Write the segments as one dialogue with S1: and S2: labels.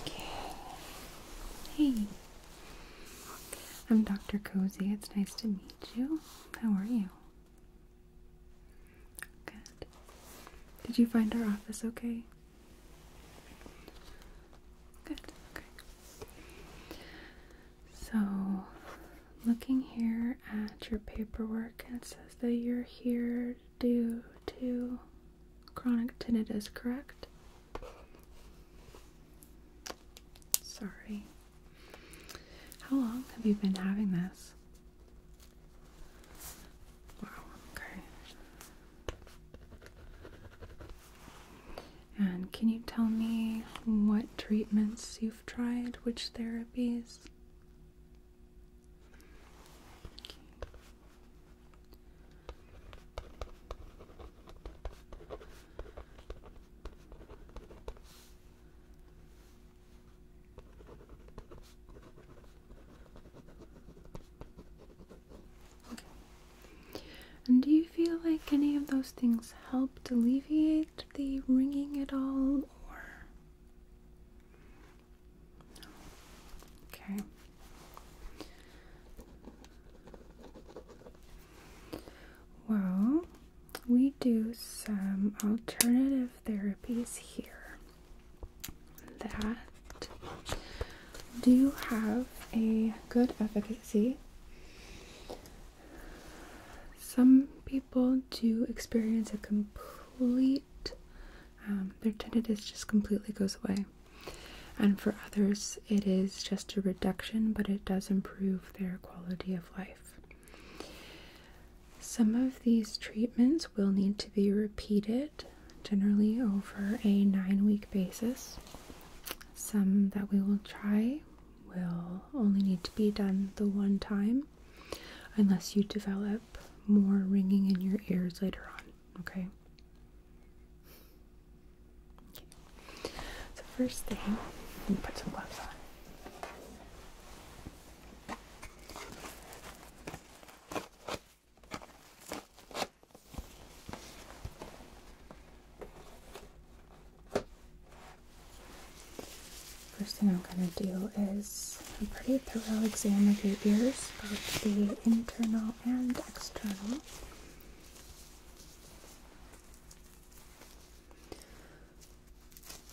S1: Okay. Hey. I'm Dr. Cozy. It's nice to meet you. How are you? Good. Did you find our office okay? Good, okay. So, looking here at your paperwork, it says that you're here due to chronic tinnitus, correct? Sorry. How long have you been having this? Wow, okay. And can you tell me what treatments you've tried, which therapies? And do you feel like any of those things helped alleviate the ringing at all, or? Okay. Well, we do some alternative therapies here that do have a good efficacy. Some people do experience a complete, um, their tinnitus just completely goes away. And for others, it is just a reduction, but it does improve their quality of life. Some of these treatments will need to be repeated, generally over a nine week basis. Some that we will try will only need to be done the one time unless you develop more ringing in your ears later on, okay? So, first thing, let me put some gloves on. First thing I'm going to do is a pretty thorough exam of your ears, both the internal and external.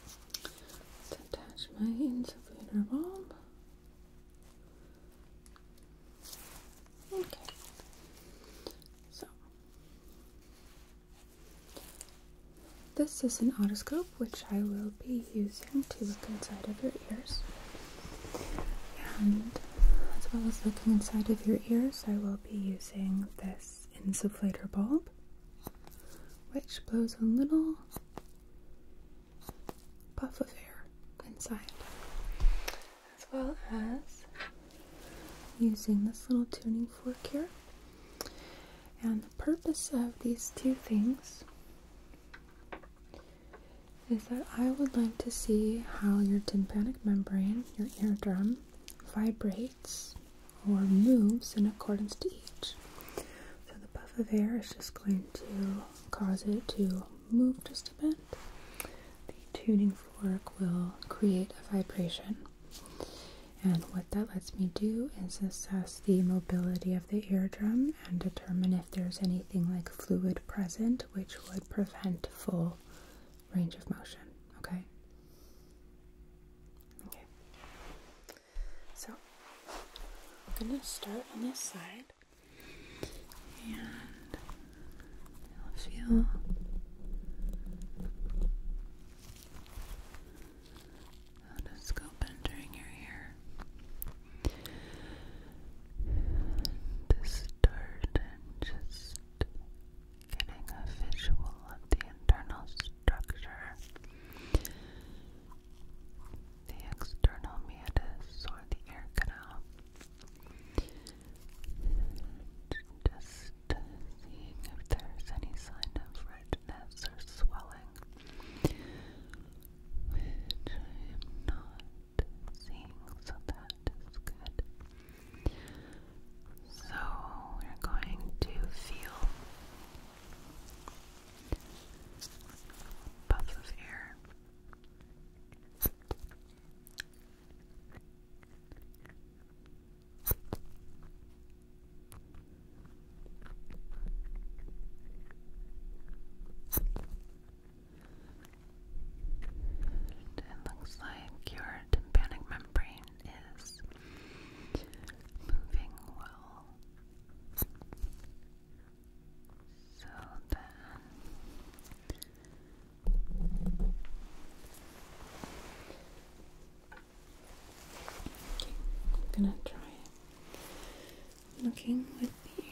S1: Let's attach my insufflator bulb. Okay. So this is an otoscope which I will be using to look inside of your ears. And as well as looking inside of your ears, I will be using this insufflator bulb, which blows a little puff of air inside as well as using this little tuning fork here. And the purpose of these two things is that I would like to see how your tympanic membrane, your eardrum, vibrates or moves in accordance to each. So the puff of air is just going to cause it to move just the tuning fork will create a vibration. And what that lets me do is assess the mobility of the eardrum and determine if there's anything like fluid present which would prevent full range of motion. Okay? Okay. So, I'm going to start on this side. You'll feel endoscope entering your ear and and just getting a visual of the internal structure the external meatus or the air canal just seeing if there's any sign of redness or swelling, which I am not seeing, so that is good. So we're going to feel puff of air it looks like your tympanic membrane is moving well. So then I'm gonna try Looking with the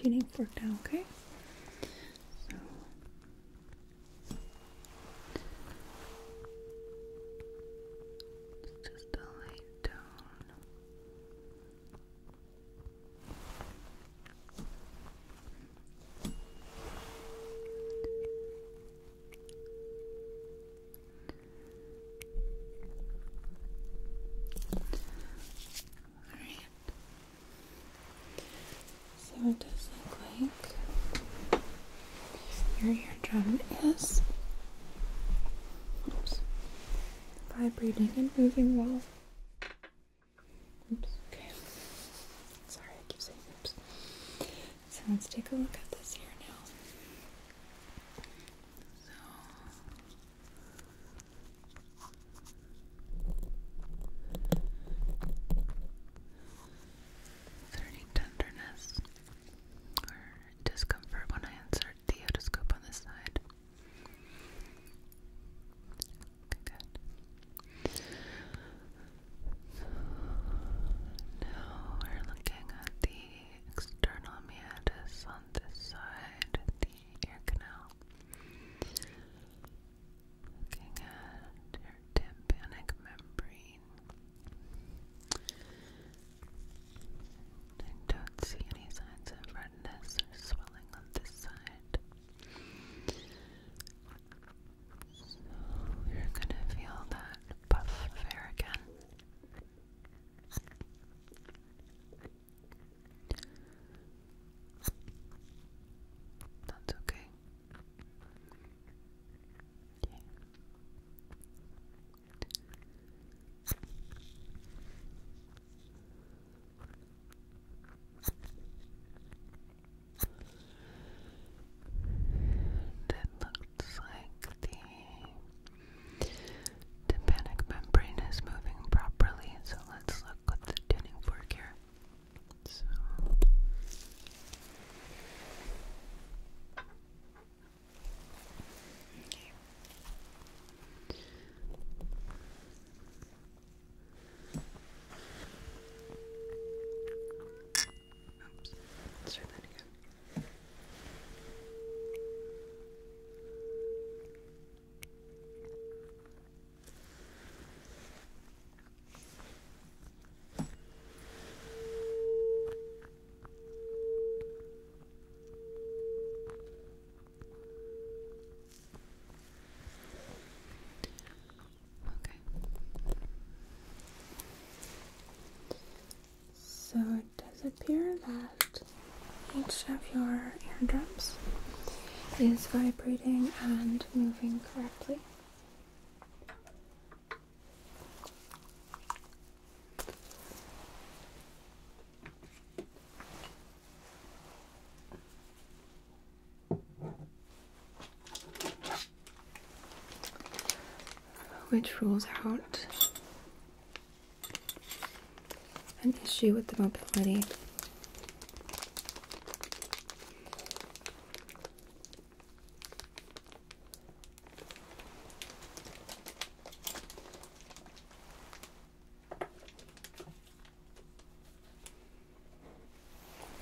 S1: tuning fork down. okay? So just a light tone. All right. So it does look like your eardrum is oops, vibrating and moving well. Oops, okay. Sorry, I keep saying oops. So let's take a look at this here now. So any tenderness or discomfort when I insert the otoscope on this side? good. Now we're looking at the external meatus on this side, the ear canal. Looking at your tympanic membrane. I don't see any signs of redness or swelling on this side. So you're gonna feel that puff of air again. That's okay it looks like the tympanic membrane is moving properly, so let's look with the tuning fork here. Oops, let's try that again. Okay. So it does appear that each of your eardrums is vibrating and moving correctly which rules out an issue with the mobility.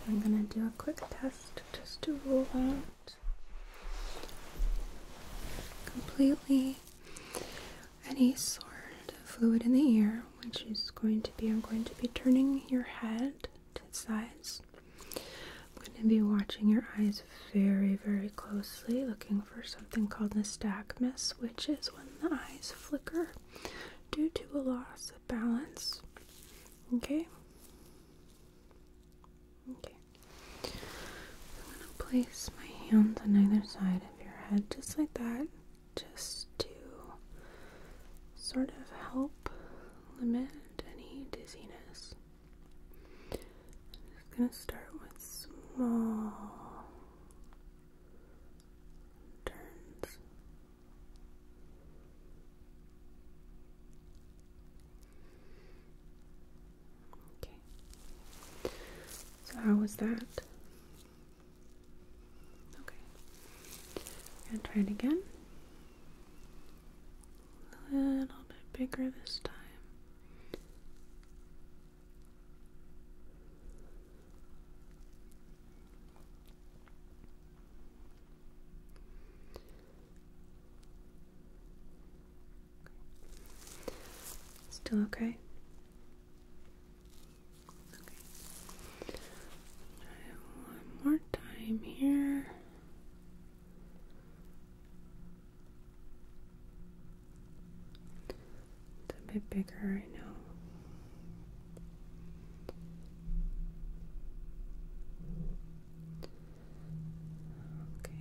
S1: I'm gonna do a quick test just to rule out completely any sort of fluid in the ear, which is going to be I'm going to be turning your head to the sides. I'm going to be watching your eyes very, very closely, looking for something called nystagmus, which is when the eyes flicker due to a loss balance. Okay. Okay. I'm gonna place my hands on either side of your head, just like that, just to sort of help limit any dizziness. I'm just gonna start with small turns. Okay. So how was that? Okay. And try it again. A little bit bigger this time. Still okay? Okay. One more time here. It's a bit bigger right now. Okay.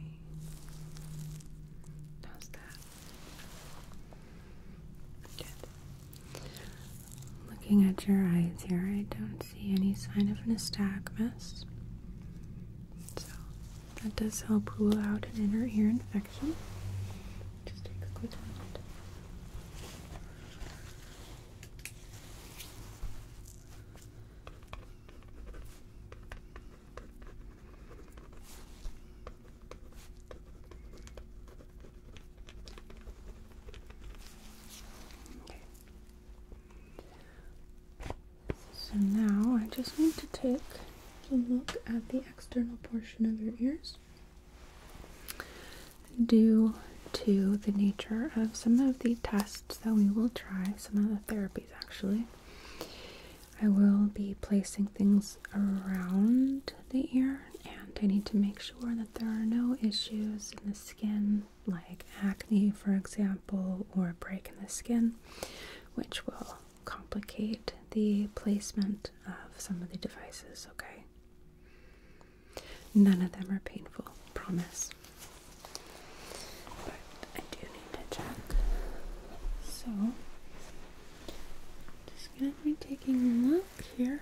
S1: How's that? Looking at your eyes here, I don't see any sign of nystagmus. So that does help rule out an inner ear infection. Just take a quick moment. So now I just need to take a look at the external portion of your ears due to the nature of some of the tests that we will try, some of the therapies actually. I will be placing things around the ear, and I need to make sure that there are no issues in the skin, like acne, for example, or a break in the skin, which will complicate the placement of some of the devices, okay? None of them are painful, promise. But I do need to check. So, just gonna be taking a look here.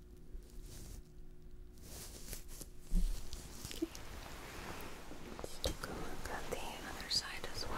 S1: Okay. take a look at the other side as well.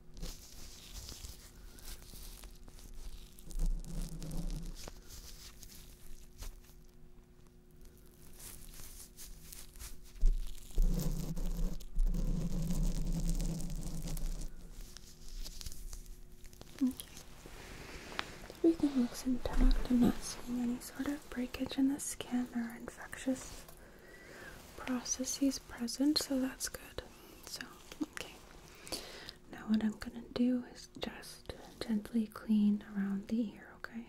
S1: Okay. Everything looks intact. I'm not seeing any sort of breakage in the skin or infectious processes present, so that's good. So Okay. Now what I'm gonna do is just gently clean around the ear, okay?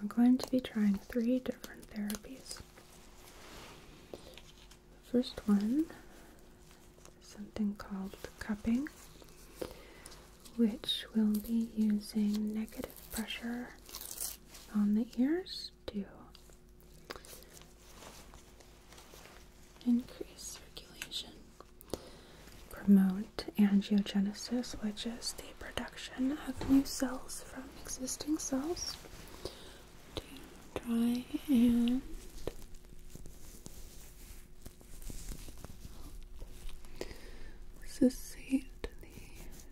S1: We're going to be trying three different therapies. The first one is something called cupping, which will be using negative pressure on the ears to increase circulation, promote angiogenesis, which is the production of new cells from existing cells, to try and help. the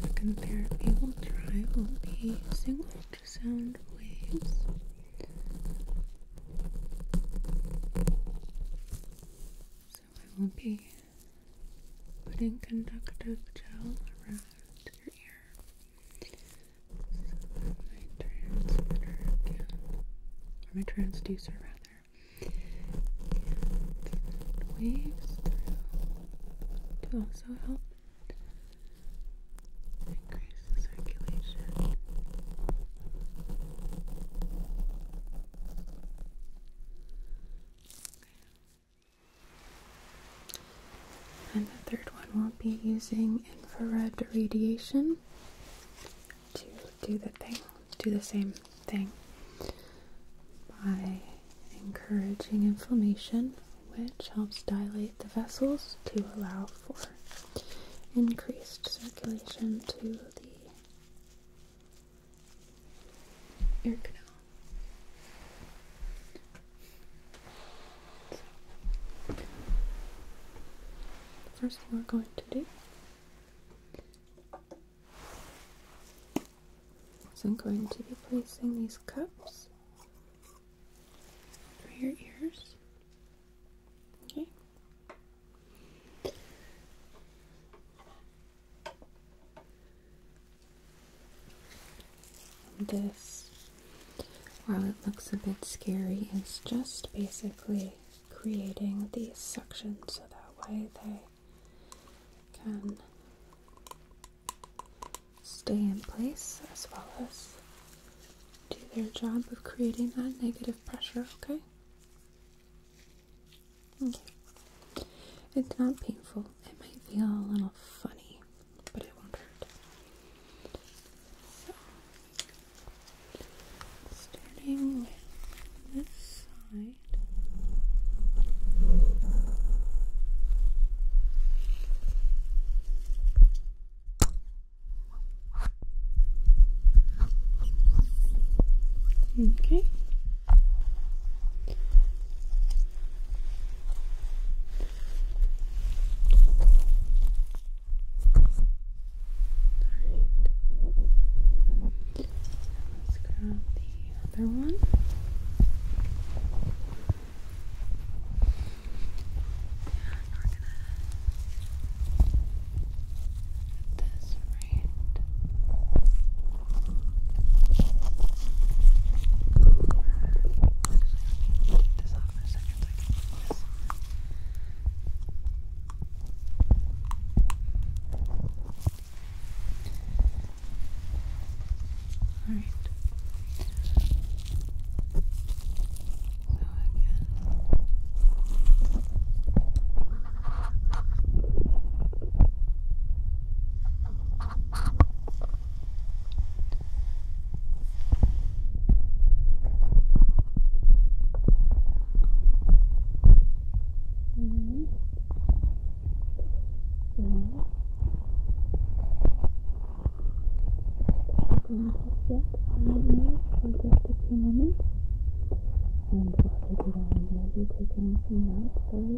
S1: Second therapy will try will be single sound waves. So I will be putting conductive gel around your ear so my transmitter can, or my transducer rather, can waves through to also help increase the circulation. And the third one will be using infrared radiation to do the thing, do the same thing by encouraging inflammation, which helps dilate the vessels to allow for increased circulation to the ear canal. first thing we're going to do is I'm going to be placing these cups over your ears. Okay. This, while it looks a bit scary, is just basically creating these suction so that way they can stay in place as well as do their job of creating that negative pressure, okay? Okay. It's not painful. It might feel a little funny, but it won't hurt. starting with this side. Okay. Let's grab the other one. And we're gonna put this right this off for a second so I can do this. Alright. So again. Just for just a few moments and while I do that I'm going to be taking some notes for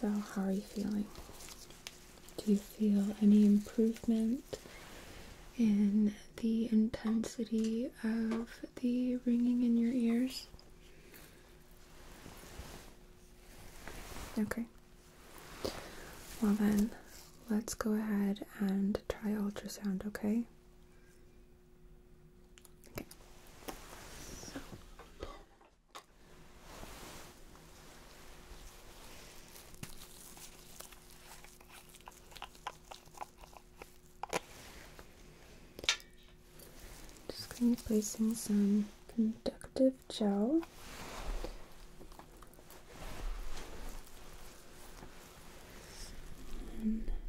S1: So, how are you feeling? Do you feel any improvement in the intensity of the ringing in your ears? Okay. Well, then, let's go ahead and try ultrasound, okay? Just going to be placing some conductive gel. under,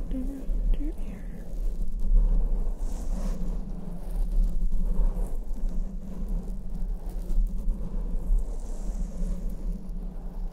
S1: under ear.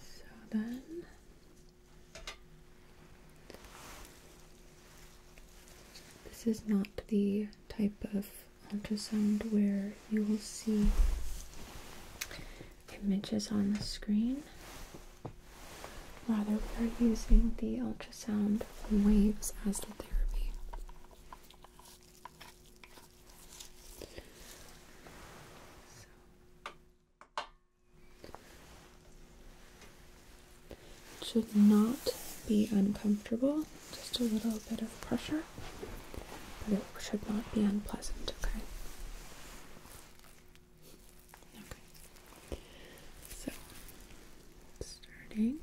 S1: So then this is not the type of ultrasound where you will see images on the screen. Rather, we are using the ultrasound waves as the therapy should not be uncomfortable, just a little bit of pressure, but it should not be unpleasant, okay? Okay. So, starting.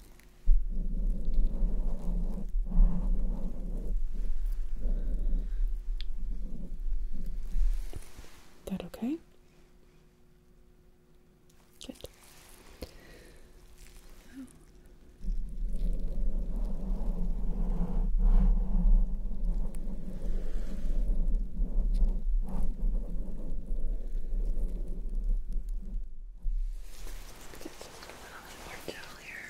S1: Is That okay? Good. Oh. a little more gentle here.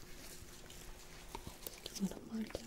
S1: Just let them lie down.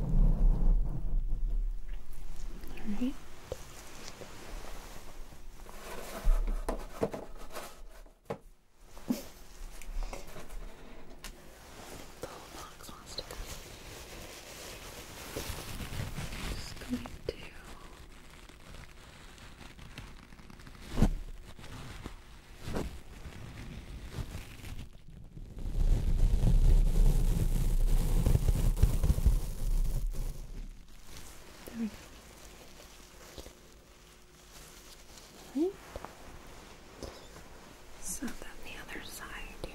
S1: All right. the box wants to come. just going to there we go. Right. So then the other side here.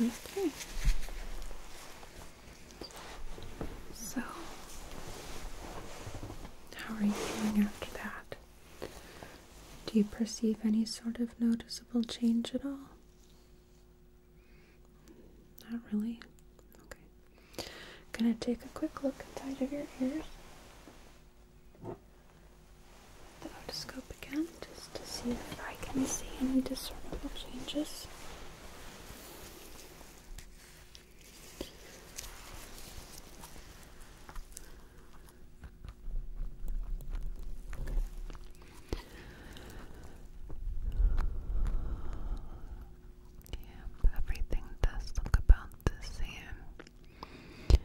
S1: Okay. So, how are you feeling after that? Do you perceive any sort of noticeable change at all? Not really. Okay. Gonna take a quick look inside of your ears the otoscope again just to see if I can see any discernible changes. Yep, everything does look about the same. It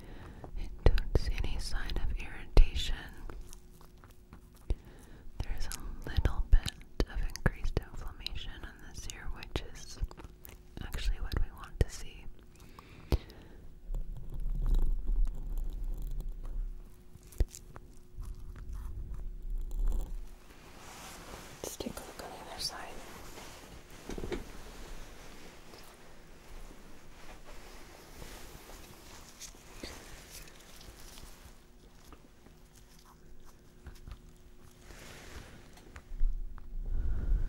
S1: don't see any sign of irritation. There's a little bit of increased inflammation on this ear, which is actually what we want to see. Let's take a look on the other side.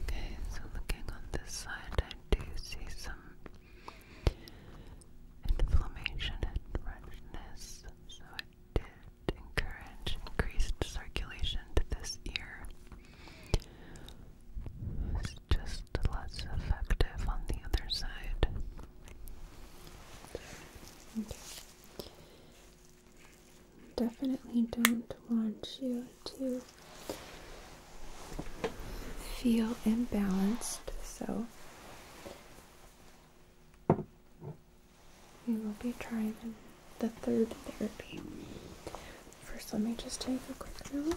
S1: Okay, so looking on this side, I do see some inflammation and redness, so it did encourage increased circulation to this ear. It's just less effective on the other side. Definitely don't want you to feel imbalanced, so we will be trying the third therapy. First, let me just take a quick note.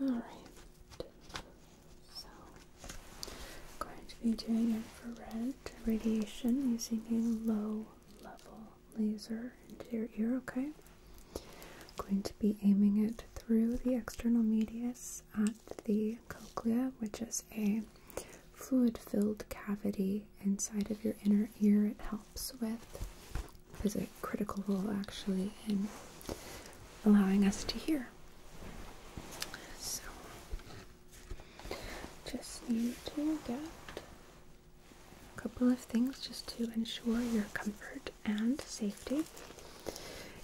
S1: Alright, so going to be doing infrared radiation using a low level laser into your ear, okay? going to be aiming it through the external medius at the cochlea, which is a fluid filled cavity inside of your inner ear. It helps with, is a critical role actually in allowing us to hear. So just need to get a couple of things just to ensure your comfort and safety.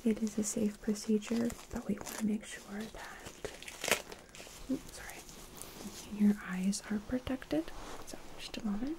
S1: It is a safe procedure, but we want to make sure that your eyes are protected. So just a moment.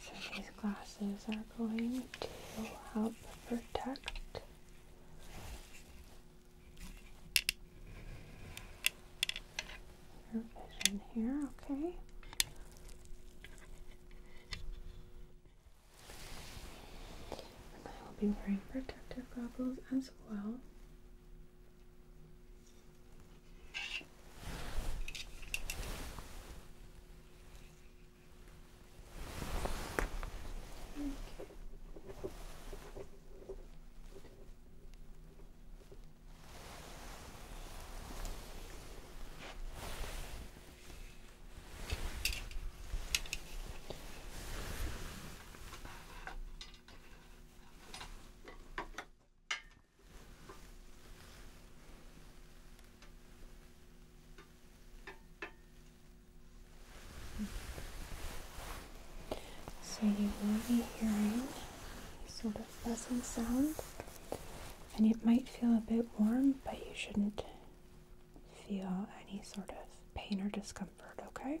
S1: So these glasses are going to help protect your vision here, okay? I will be wearing protective goggles as well. Okay. So you will be hearing sort of buzzing sound and it might feel a bit warm, but you shouldn't feel any sort of pain or discomfort, okay?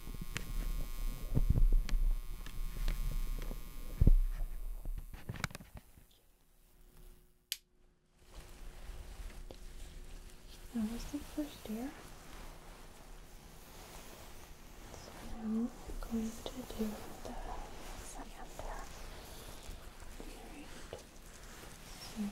S1: That was the first ear. So I'm going to do the second pair. Alright. So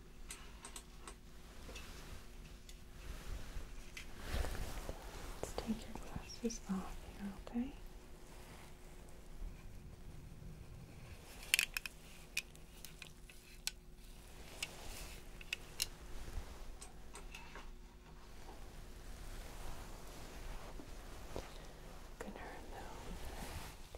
S1: Let's take your glasses off here, okay? i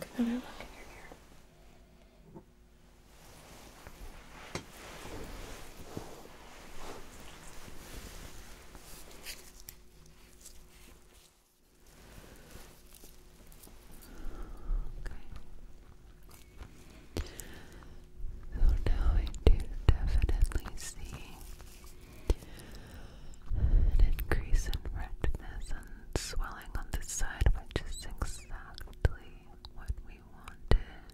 S1: Take another look in your hair. So now I do definitely see an increase in redness and swelling on this side, which is exactly what we wanted.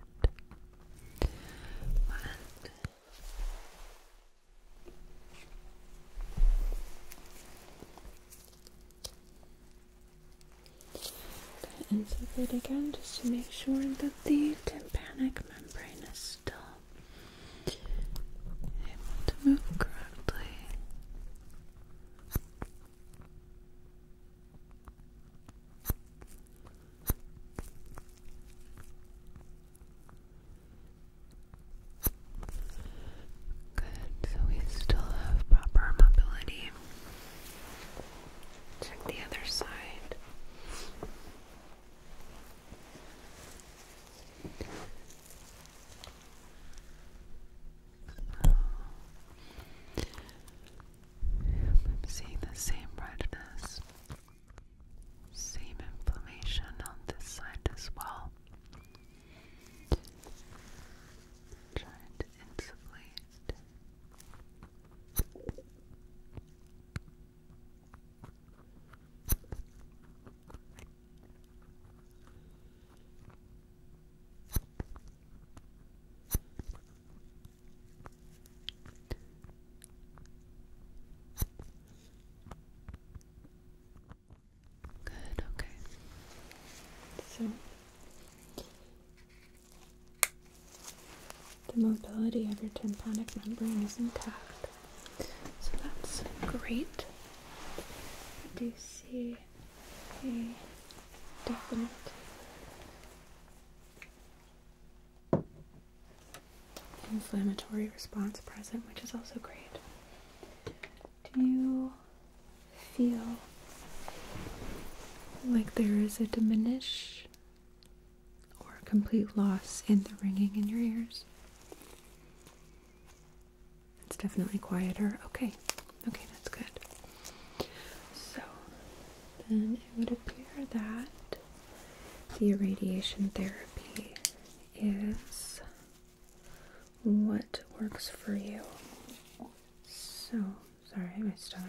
S1: To Insert it again just to make sure that the tympanic membrane is still able to move correctly. Good, so we still have proper mobility. Check the other side. I'm seeing the same redness, same inflammation on this side as well. Trying to insulate. Good, okay. So the mobility of your tympanic membrane is intact. So that's great. I do see a definite inflammatory response present, which is also great. Do you feel like there is a diminish or complete loss in the ringing in your ears? It's definitely quieter. Okay, okay, that's good. So then it would appear that the irradiation therapy is what works for you. So sorry, my stomach.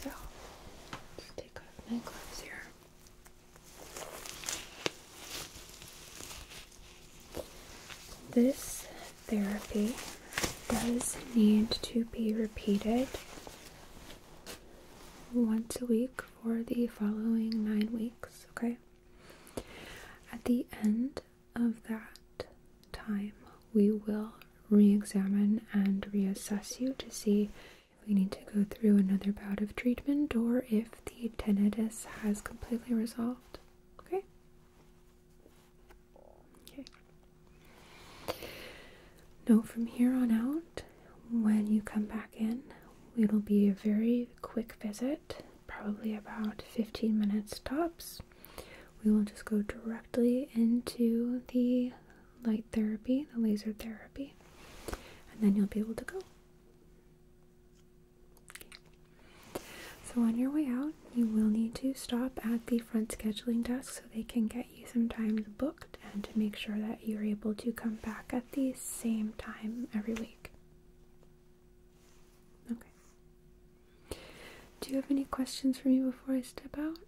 S1: So take off my gloves here. This therapy does need to be repeated once a week for the following nine weeks, okay? At the end of that time, we will re examine and reassess you to see if we need to go through another bout of treatment or if the tinnitus has completely resolved. Okay? Okay. Now, from here on out, when you come back in, it'll be a very quick visit, probably about 15 minutes tops. We will just go directly into the light therapy, the laser therapy, and then you'll be able to go. So, on your way out, you will need to stop at the front scheduling desk so they can get you sometimes booked and to make sure that you're able to come back at the same time every week. Okay. Do you have any questions for me before I step out?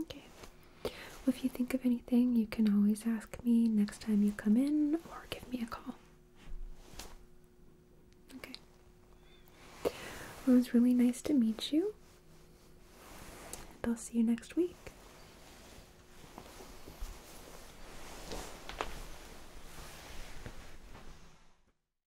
S1: Okay. if you think of anything, you can always ask me next time you come in or give me a call. Okay. it was really nice to meet you. And I'll see you next week.